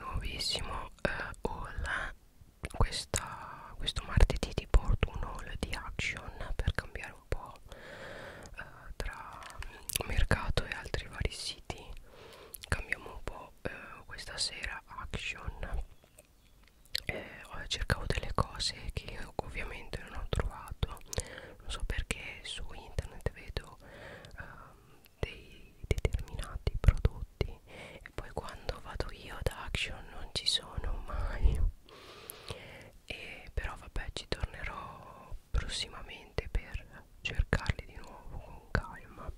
nuovissimo eh, haul questa, questo martedì ti porto un haul di action per cambiare un po' eh, tra mercato e altri vari siti cambiamo un po' eh, questa sera action eh, cercavo delle cose che ovviamente non ho trovato non so perché su internet vedo eh, dei determinati prodotti e poi quando vado io ad Action non ci sono mai e però vabbè ci tornerò prossimamente per cercarli di nuovo con calma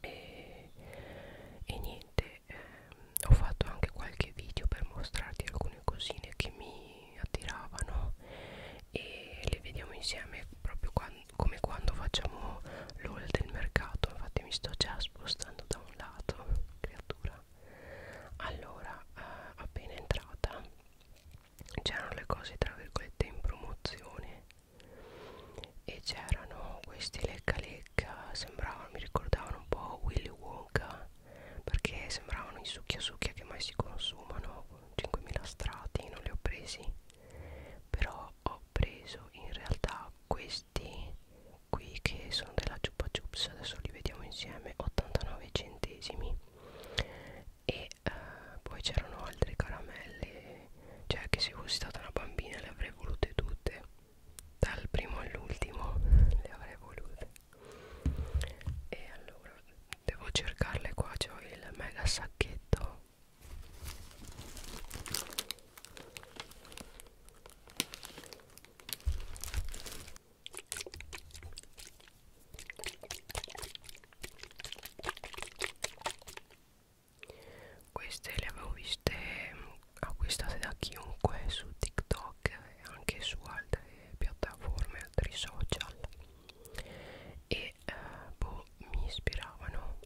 e, e niente ehm, ho fatto anche qualche video per mostrarti alcune cosine che mi mi attiravano e le vediamo insieme proprio quando, come quando facciamo l'all del mercato infatti mi sto già spostando da un lato creatura allora eh, appena entrata c'erano le cose tra virgolette in promozione e c'erano questi lecca lecca sembravano mi ricordavano un po' Willy Wonka perché sembravano i succhia succhia che mai si consumano 5.000 strati non li ho presi però ho preso in realtà questi qui che sono della Chupa Chups adesso li vediamo insieme 89 centesimi e uh, poi c'erano altre caramelle cioè che se fossi stata una bambina le avrei volute tutte dal primo all'ultimo le avrei volute e allora devo cercarle qua c'ho il mega sacchetto queste le avevo viste mm, acquistate da chiunque su TikTok e anche su altre piattaforme, altri social e eh, boh, mi ispiravano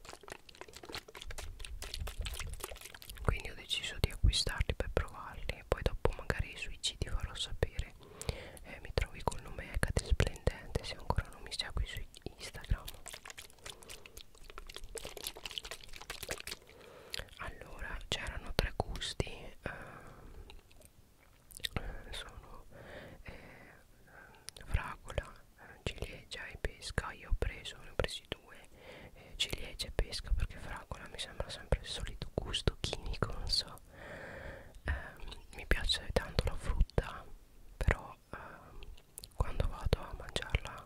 quindi ho deciso di acquistarli per provarli poi dopo magari sui C ti farò sapere eh, mi trovi col nome Hecate Splendente se ancora non mi segui su Instagram allora c'erano tre gusti eh, eh, sono eh, fragola, eh, ciliegia e pesca. Io ho preso, ne ho presi due, eh, ciliegia e pesca perché fragola mi sembra sempre il solito gusto chimico, non so. Eh, mi piace tanto la frutta, però eh, quando vado a mangiarla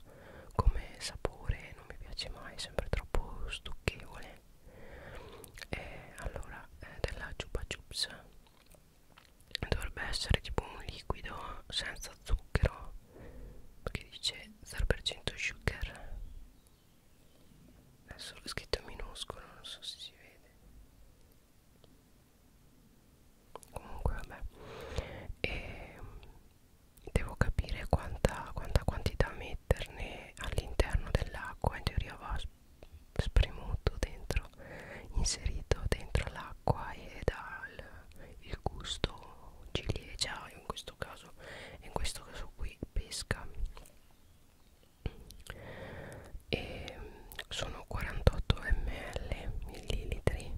come sapore non mi piace mai, è sempre troppo stucchevole e allora eh, della Chupa Chups dovrebbe essere tipo un liquido senza zucchero perché dice 0% sugar è solo scritto in minuscolo non so se si vede comunque vabbè e mm, devo capire quanta, quanta quantità metterne all'interno dell'acqua in teoria va spremuto dentro inserito dentro l'acqua e dà il, il gusto ciliegia in questo caso in questo caso qui pesca e sono 48 ml millilitri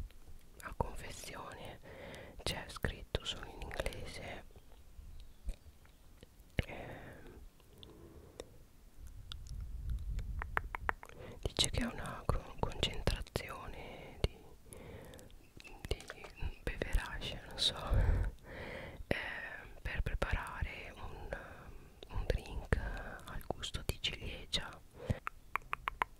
a confezione c'è scritto solo in inglese eh, dice che è una con concentrazione di, di beverage non so eh, per preparare un, un drink al gusto di ciliegia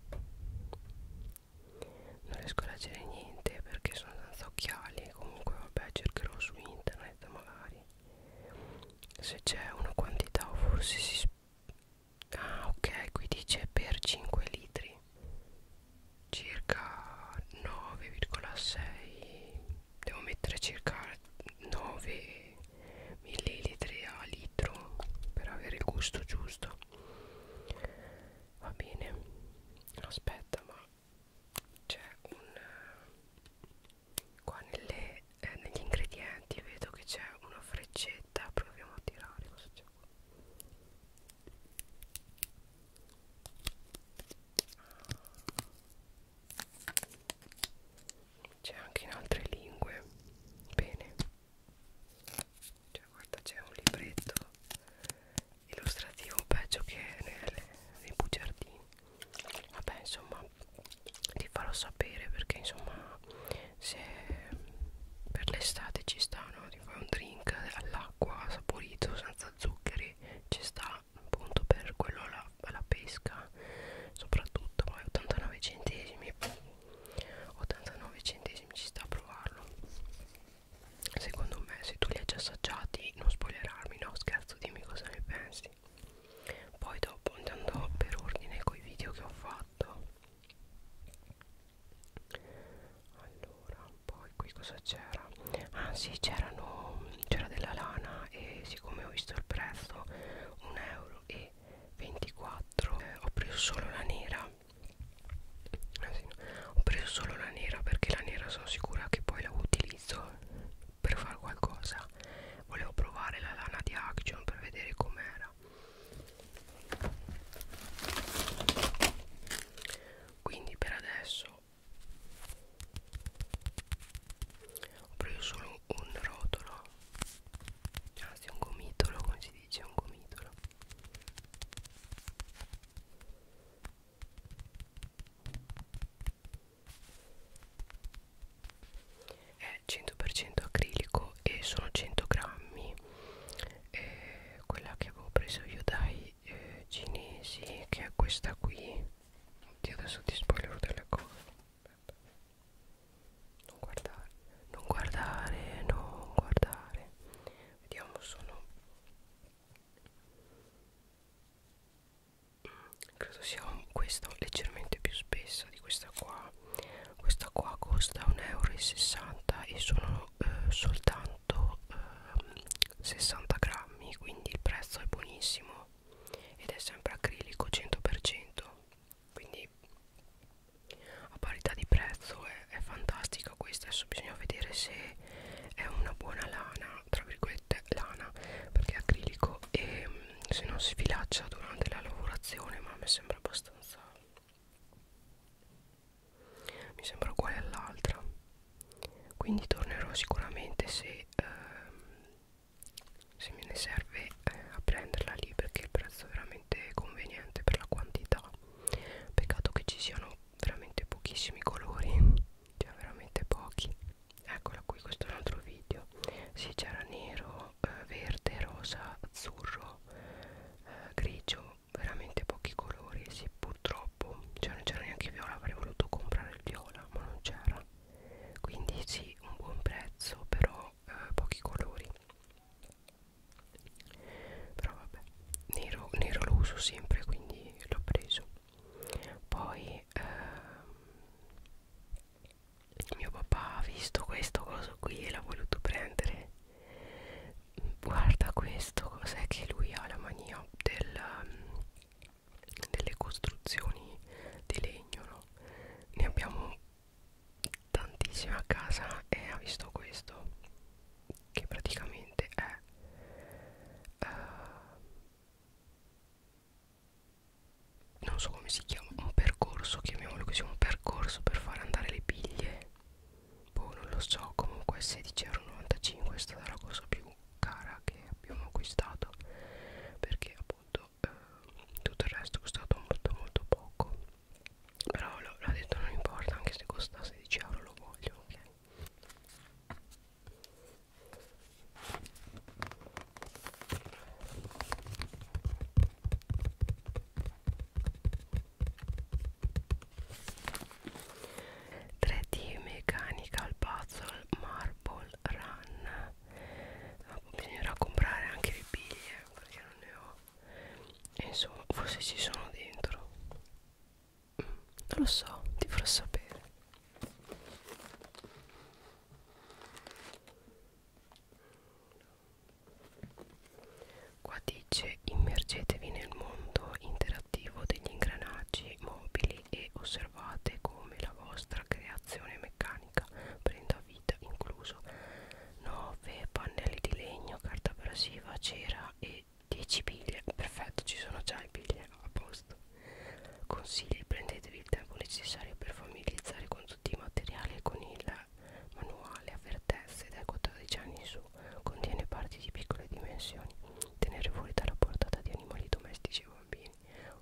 non riesco a leggere niente perché sono senza occhiali comunque vabbè cercherò su internet fredda magari se c'è una quantità o forse si ah ok qui dice per 5 litri circa 9,6 devo mettere circa 9 millilitri a litro per avere il gusto giusto va bene aspetta ma c'è un qua nelle, eh, negli ingredienti vedo che c'è una freccetta proviamo a tirare cosa c'è qua c'è anche in altre lingue bene cioè guarda c'è un libretto illustrativo peggio che nelle, nei bugiardini vabbè insomma ti farò sapere perché insomma se per l'estate ci sta no? ti fai un drink all'acqua saporito senza zuccheri ci sta appunto per quello alla, alla pesca soprattutto ma 89 centesimi 89 centesimi ci sta a provarlo Secondo me se tu li hai già assaggiati non spoilerarmi, no scherzo, dimmi cosa ne pensi. Poi dopo andando per ordine coi video che ho fatto. Allora, poi qui cosa c'era? Ah sì, c'erano c'era della lana e siccome ho visto il prezzo 1 euro e 24 eh, ho preso solo la nera eh sì, no. ho preso solo la nera perché la nera sono sicura che poi la utilizzo per fare qualcosa volevo provare la lana di action per vedere com'era quindi per adesso ho preso solo un rotolo anzi un gomitolo come si dice un gomitolo è 100% acrilico e sono 100 grammi eh, quella che avevo preso io dai eh, cinesi che è questa qui Oddio, adesso ti spoilerò delle cose non guardare non guardare non guardare vediamo sono credo sia questa leggermente più spessa di questa qua questa qua costa 1,60 euro e sono eh, soltanto eh, 60 grammi quindi il prezzo è buonissimo ed è sempre acrilico 100% quindi a parità di prezzo è, è fantastica questa adesso bisogna vedere se è una buona lana tra virgolette lana perché è acrilico e mm, se non si filaccia durante la lavorazione ma mi sembra abbastanza mi sembra uguale all'altra quindi tornerò sicuramente se ehm, se me ne serve eh, a prenderla lì perché il prezzo è veramente conveniente per la quantità peccato che ci siano veramente pochissimi colori cioè veramente pochi eccola qui questo è un altro video si sì, c'era nero eh, verde rosa azzurro eh, grigio veramente pochi colori sì purtroppo cioè non c'era neanche viola avrei voluto comprare il viola ma non c'era quindi sì un buon prezzo però eh, pochi colori però vabbè nero, nero lo uso sempre quindi l'ho preso poi eh, mio papà ha visto questo coso qui e l'ha voluto prendere guarda questo cos'è che lui ha la mania del, delle costruzioni di legno no? ne abbiamo tantissime a casa e ha visto questo che praticamente è uh, non so come si chiama un percorso chiamiamolo così un percorso per far andare le biglie boh non lo so comunque 16,95€ è stata la cosa più cara che abbiamo acquistato perché appunto eh, tutto il resto è costato molto molto poco però l'ho detto non importa anche se costa 16 euro lo voglio ok 3D mechanical puzzle marble run Ma bisognerà comprare anche le biglie perché non ne ho e insomma forse ci sono dentro non lo so, ti farò sapere. Qua dice immergetevi nel mondo interattivo degli ingranaggi mobili e osservate come la vostra creazione meccanica prenda vita, incluso 9 pannelli di legno, carta abrasiva, cera e 10 biglie, perfetto, ci sono già le biglie a posto. Consigli: prendetevi il tempo necessario per familiarizzare con tutti i materiali e con il manuale. Avvertezze dai 14 anni in su, contiene parti di piccole dimensioni. Tenere fuori dalla portata di animali domestici e bambini.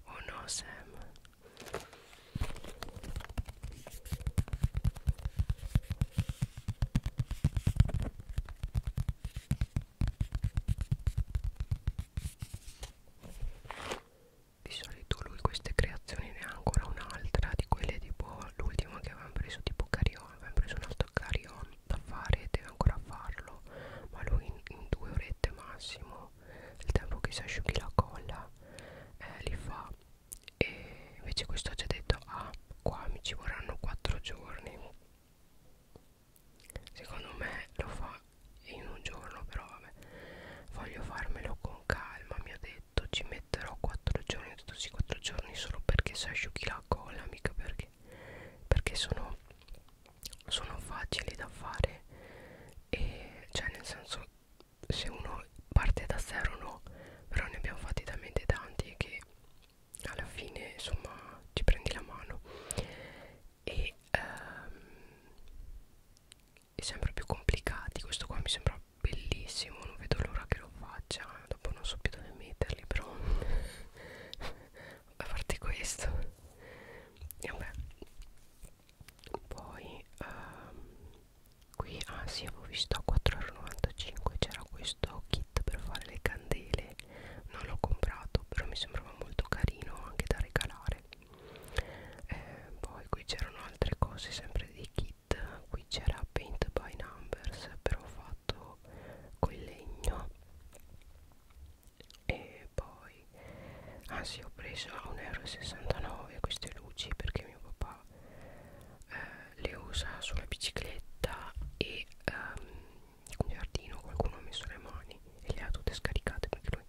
Oh no, Sam! Di solito lui queste creazioni ne ha ancora un'altra di quelle tipo l'ultima che avevamo preso tipo carion, avevamo preso un altro carion da fare e deve ancora farlo, ma lui in, in due orette massimo, il tempo che si asciughi la colla, eh, li fa e invece questo ha già detto ah qua mi ci vorranno 4 giorni secondo me lo fa in un giorno però vabbè voglio farmelo con calma mi ha detto ci metterò 4 giorni ho detto sì 4 giorni solo perché si asciughi la colla mica perché perché sono sono facili da fare e cioè nel senso se uno parte da zero no però ne abbiamo fatti talmente tanti che alla fine insomma ci prendi la mano e ehm, è sempre più complicati questo qua mi sembra bellissimo non vedo l'ora che lo faccia dopo non so più dove metterli però a parte questo e vabbè poi ehm, qui ah sì avevo visto a 4,95 c'era questo questo kit per fare le candele non l'ho comprato però mi sembrava molto carino anche da regalare eh, poi qui c'erano altre cose sempre dei kit qui c'era paint by numbers però fatto con il legno e poi ah sì ho preso a 1,69 euro queste luci perché mio papà eh, le usa sulla bicicletta e ehm, in giardino qualcuno ha messo le mani e le ha tutte scaricate perché lui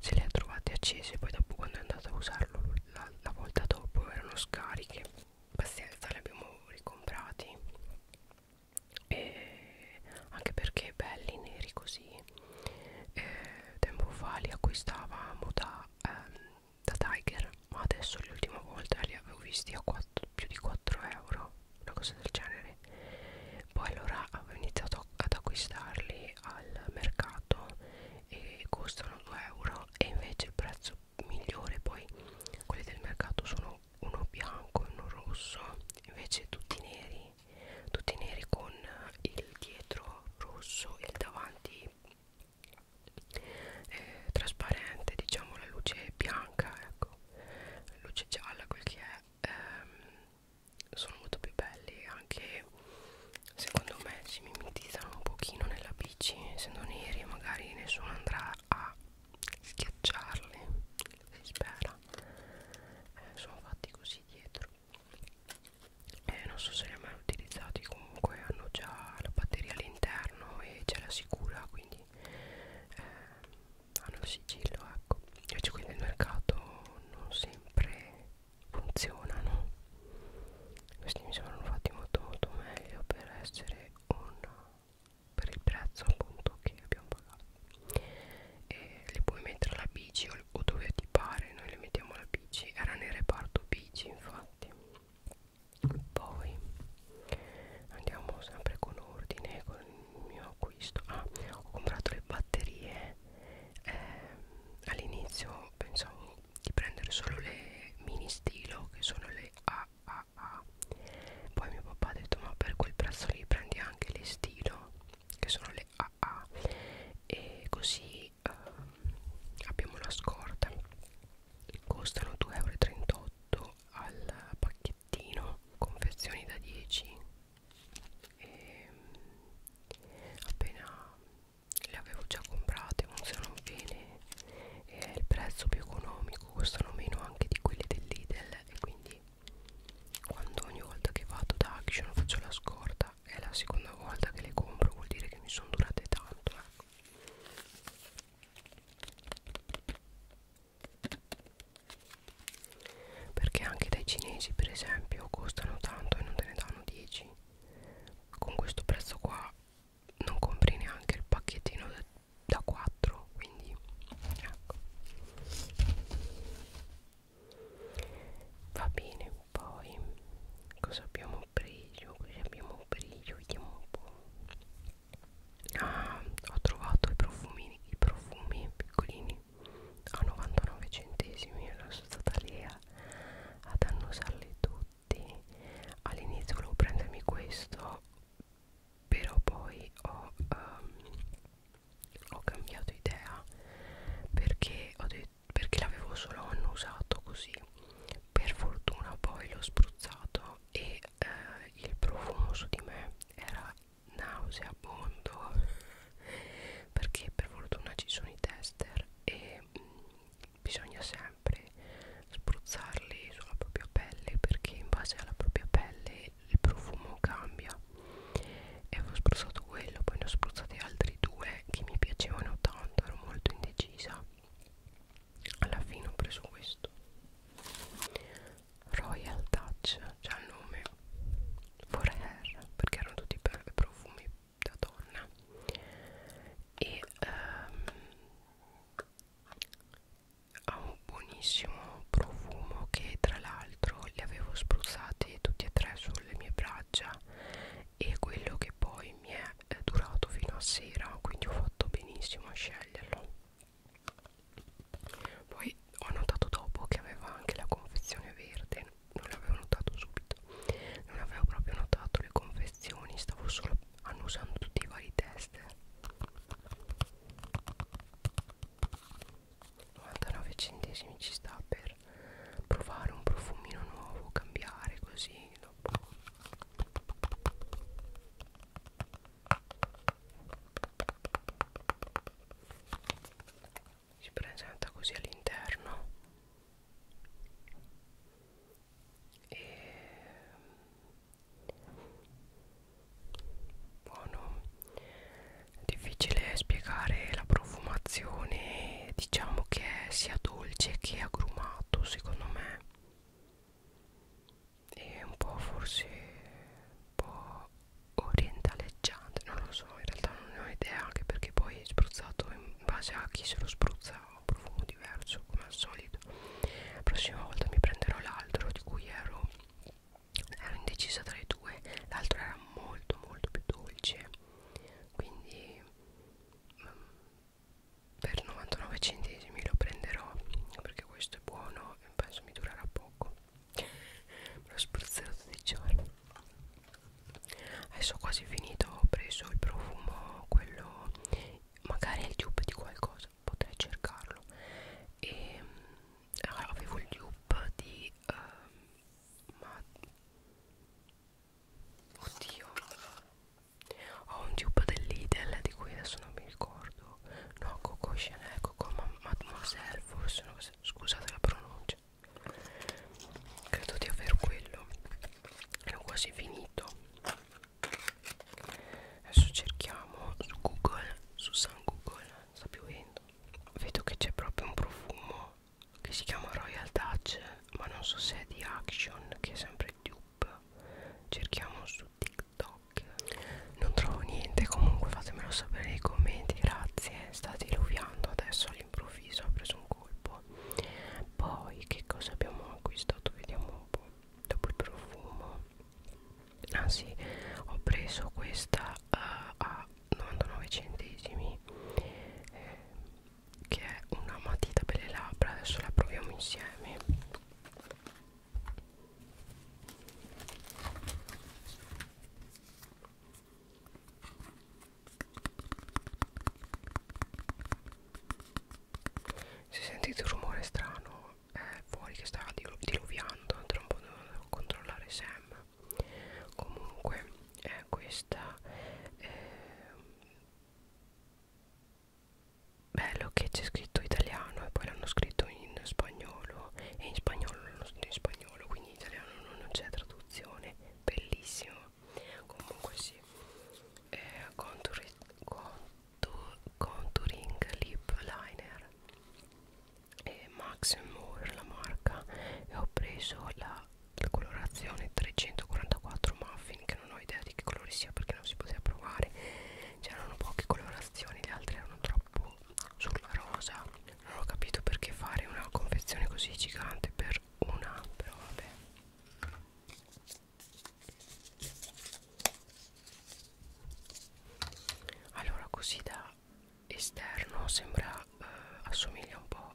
se le ha trovate accese poi dopo quando è andato a usarlo la, la volta dopo erano scariche pazienza le abbiamo ricomprati e anche perché belli neri così eh, tempo fa li acquistavamo da, ehm, da Tiger ma adesso l'ultima volta li avevo visti a 4 più di 4 euro una cosa del genere poi allora avevo iniziato ad acquistarli al mercato e costano 2 euro e invece il prezzo migliore poi quelli del mercato sono uno bianco e uno rosso invece tutti neri tutti neri con il dietro rosso e il davanti eh, trasparente diciamo la luce bianca ecco la luce gialla quel che è ehm, sono molto più belli anche secondo me si mimetizzano un pochino nella bici essendo neri magari nessuno andrà a schiacciarli si spera eh, sono fatti così dietro eh, non so se li ho mai utilizzati comunque hanno già la batteria all'interno e c'è la sicura quindi quindi eh, hanno il sigillo ecco invece qui nel mercato non sempre funzionano questi mi sono fatti molto molto meglio per essere un per il prezzo appunto che abbiamo pagato e li puoi mettere alla bici o, o dove ti pare noi le mettiamo alla bici era nel reparto bici infatti poi andiamo sempre con ordine con il mio acquisto ah, ho comprato le batterie eh, all'inizio pensavo di prendere solo le mini stilo che sono le AAA poi mio papà ha detto ma per quel prezzo lì prendi anche le stilo che sono le AA e così eh, abbiamo la scorta costano 2,38 euro al pacchettino confezioni da 10 e ehm, appena le avevo già comprate funzionano bene è il prezzo più economico costano meno anche di quelle del Lidl e quindi quando ogni volta che vado da Action faccio la scorta è la seconda volta che le compro vuol dire che mi sono durate tanto ecco perché anche dai cinesi per esempio costano tanto e non te ne danno 10 con questo prezzo qua non compri neanche il pacchettino da, da 4 quindi ecco va bene poi cosa abbiamo preso cosa abbiamo preso vediamo un po' ah, ho trovato i profumini i profumi piccolini a 99 centesimi sono stata lì ad annusarli tutti all'inizio volevo prendermi questo però poi ho, um, ho cambiato idea perché, perché l'avevo solo annusato così per fortuna poi l'ho spruzzato e eh, il profumo su di me era nauseabondo perché per fortuna ci sono i tester e mh, mm, bisogna sempre spruzzarli sulla propria pelle perché in base alla propria pelle il profumo cambia e avevo spruzzato quello poi ne ho spruzzati altri due che mi piacevano tanto ero molto indecisa alla fine ho preso questo Royal Touch c'ha il nome Forever perché erano tutti profumi da donna e um, ha un buonissimo profumo che tra l'altro li avevo spruzzati tutti e tre sulle mie braccia e quello che poi mi è è durato fino a sera quindi ho fatto benissimo a sceglierlo poi ho notato dopo che aveva anche la confezione verde non l'avevo notato subito non avevo proprio notato le confezioni stavo solo annusando tutti i vari test 99 centesimi ci sta per provare un profumino nuovo cambiare così dopo si presenta così all'interno e buono è difficile spiegare la profumazione diciamo che è sia dolce che agrumato secondo me e un po' forse un po' orientaleggiante non lo so in realtà non ne ho idea anche perché poi è spruzzato in base a chi se lo spruzza un profumo diverso come al solito la prossima volta mi prenderò l'altro di cui ero ero indecisa tra i due l'altro era molto molto più dolce quindi mm, per 99 centesimi lo prenderò perché questo è buono e penso mi durerà poco me lo spruzzerò 12 giorni adesso ho quasi finito ho preso il profumo quello magari è il dupe di qualcosa potrei cercarlo e allora, avevo il dupe di uh, ma oddio ho un tube dell'Idel di cui adesso non mi ricordo no Coco Chanel Coco Mademoiselle forse no, scusate la pronuncia credo di aver quello l'ho quasi finito adesso cerchiamo su Google su San Google sta piovendo vedo che c'è proprio un profumo che si chiama Royal Dutch ma non so se è di Action che è sempre il dupe cerchiamo su TikTok. Non trovo niente, comunque fatemelo sapere nei commenti, grazie. Sta diluviando adesso all'improvviso, ha preso un colpo. Poi che cosa abbiamo acquistato? Vediamo un po'. Dopo il profumo. Ah sì, ho preso questa uh, a 99 centesimi. Eh, che è una matita per le labbra adesso la proviamo insieme se sentite un rumore strano è fuori che sta dilu diluviando tra un po' devo controllare Sam comunque eh, questa eh, bello che c'è scritto italiano e poi l'hanno scritto in spagnolo e in spagnolo l'hanno scritto in spagnolo quindi in italiano non c'è traduzione bellissimo comunque sì eh, contour, contour, contouring lip liner e Max Moore la marca e ho preso la la colorazione 344 muffin che non ho idea di che colore sia perché non si poteva provare c'erano poche colorazioni le altre erano troppo sulla rosa non ho capito perché fare una confezione così gigante per una però vabbè allora così da esterno sembra eh, assomiglia un po'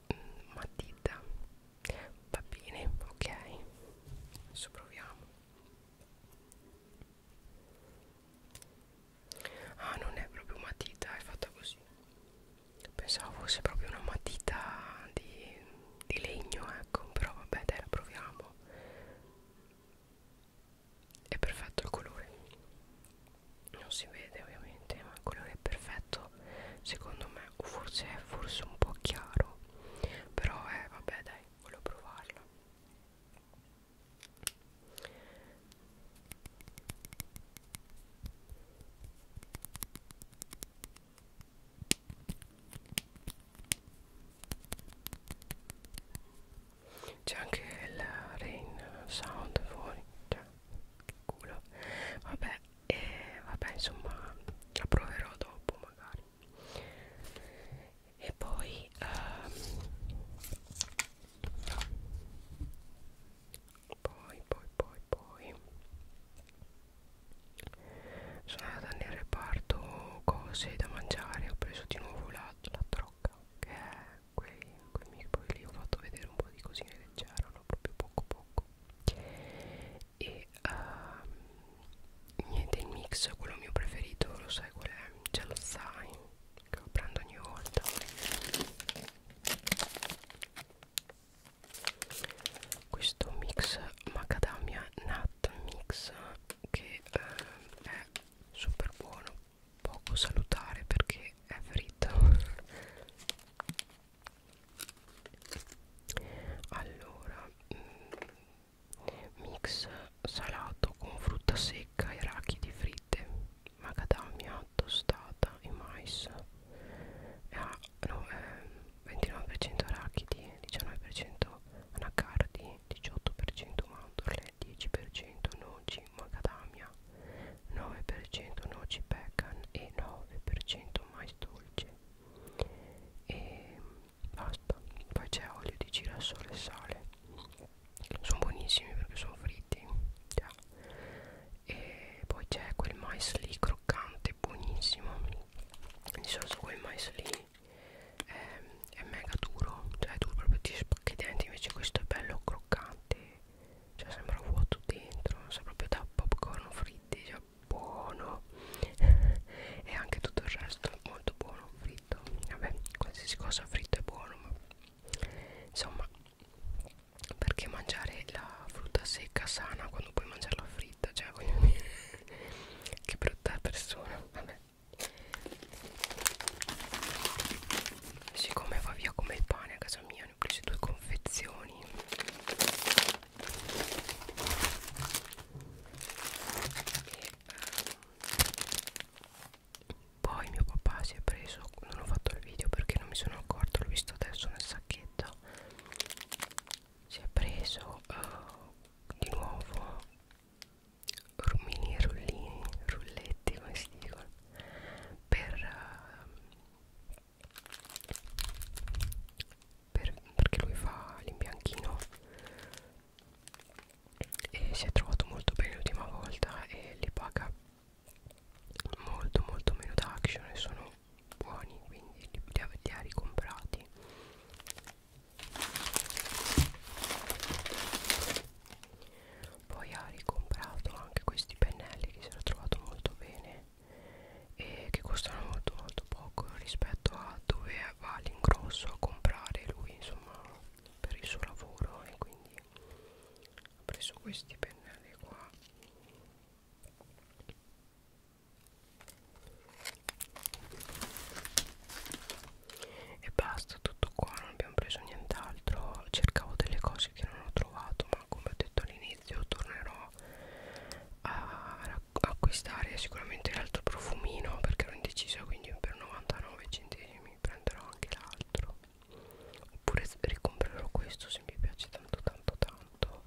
matita va bene ok adesso proviamo ah non è proprio matita è fatta così pensavo fosse proprio una matita di, di legno ecco però vabbè dai la proviamo è perfetto il colore non si vede ovviamente ma il colore perfetto secondo me o forse è forse un po' chiaro però eh vabbè dai volevo provarlo c'è anche il rain sound fuori cioè che culo vabbè e vabbè insomma la proverò dopo magari e poi um, poi poi poi poi sono andata nel reparto cose da mangiare ho preso di nuovo la, la trocca che è quei, quei miei poi lì ho fatto vedere un po' di cosine che c'erano proprio poco poco e uh, niente il mix quello mio preferito lo sai qual è ce lo sai che lo prendo ogni volta questo mix macadamia nut mix che eh, è super buono poco salutare perché è fritto allora mm, mix salato con frutta secca e rachidi fritte macadamia tostata e mais ah, no, eh, 29% rachidi 19% anacardi 18% mandorle 10% noci macadamia 9% noci pecan e 9% mais dolce e basta poi c'è olio di girasole e sale sono buonissimi perché sono fritti yeah. e poi c'è quel mais lì croccante buonissimo di solito quel mais lì è, è mega duro cioè tu proprio ti spacchi i denti invece questo è bello croccante cioè sembra vuoto dentro non sa proprio da popcorn fritti cioè buono e anche tutto il resto è molto buono fritto vabbè qualsiasi cosa fritto è buono ma insomma perché mangiare la frutta secca sana quando puoi mangiarla fritta cioè voglio dire che brutta persona vabbè siccome va via come il pane a casa mia ne ho prese due confezioni e ehm, poi mio papà si è preso non ho fatto il video perché non mi sono accorto l'ho visto adesso nel sacchetto si è preso uh, di nuovo mini rullini rulletti come si dicono per, eh, per perché lui fa l'imbianchino e si è trovato molto bene l'ultima volta e li paga molto molto meno da action e sono buoni quindi li, li, li ha ricomprati poi ha ricomprato anche questi pennelli che si era trovato molto bene e che costano molto molto poco rispetto a dove va l'ingrosso a comprare lui insomma per il suo lavoro e quindi ho preso questi pennelli qua e basta tutto qua non abbiamo preso nient'altro cercavo delle cose cose che non ho trovato ma come ho detto all'inizio tornerò a acquistare sicuramente l'altro profumino perché ero indecisa quindi per 99 centesimi prenderò anche l'altro oppure ricomprerò questo se mi piace tanto tanto tanto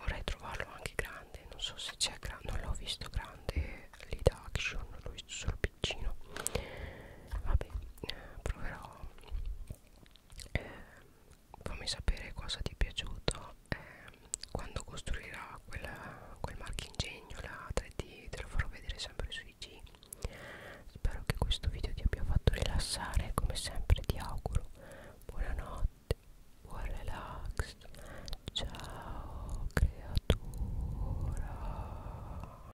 vorrei trovarlo anche grande non so se c'è grande non l'ho visto grande lì da action l'ho visto solo piccino vabbè eh, proverò eh, fammi sapere cosa ti è piaciuto eh, quando costruirà quel, quel marchingegno la 3D te lo farò vedere sempre su IG spero che questo video ti abbia fatto rilassare come sempre ti auguro buonanotte buon relax ciao creatura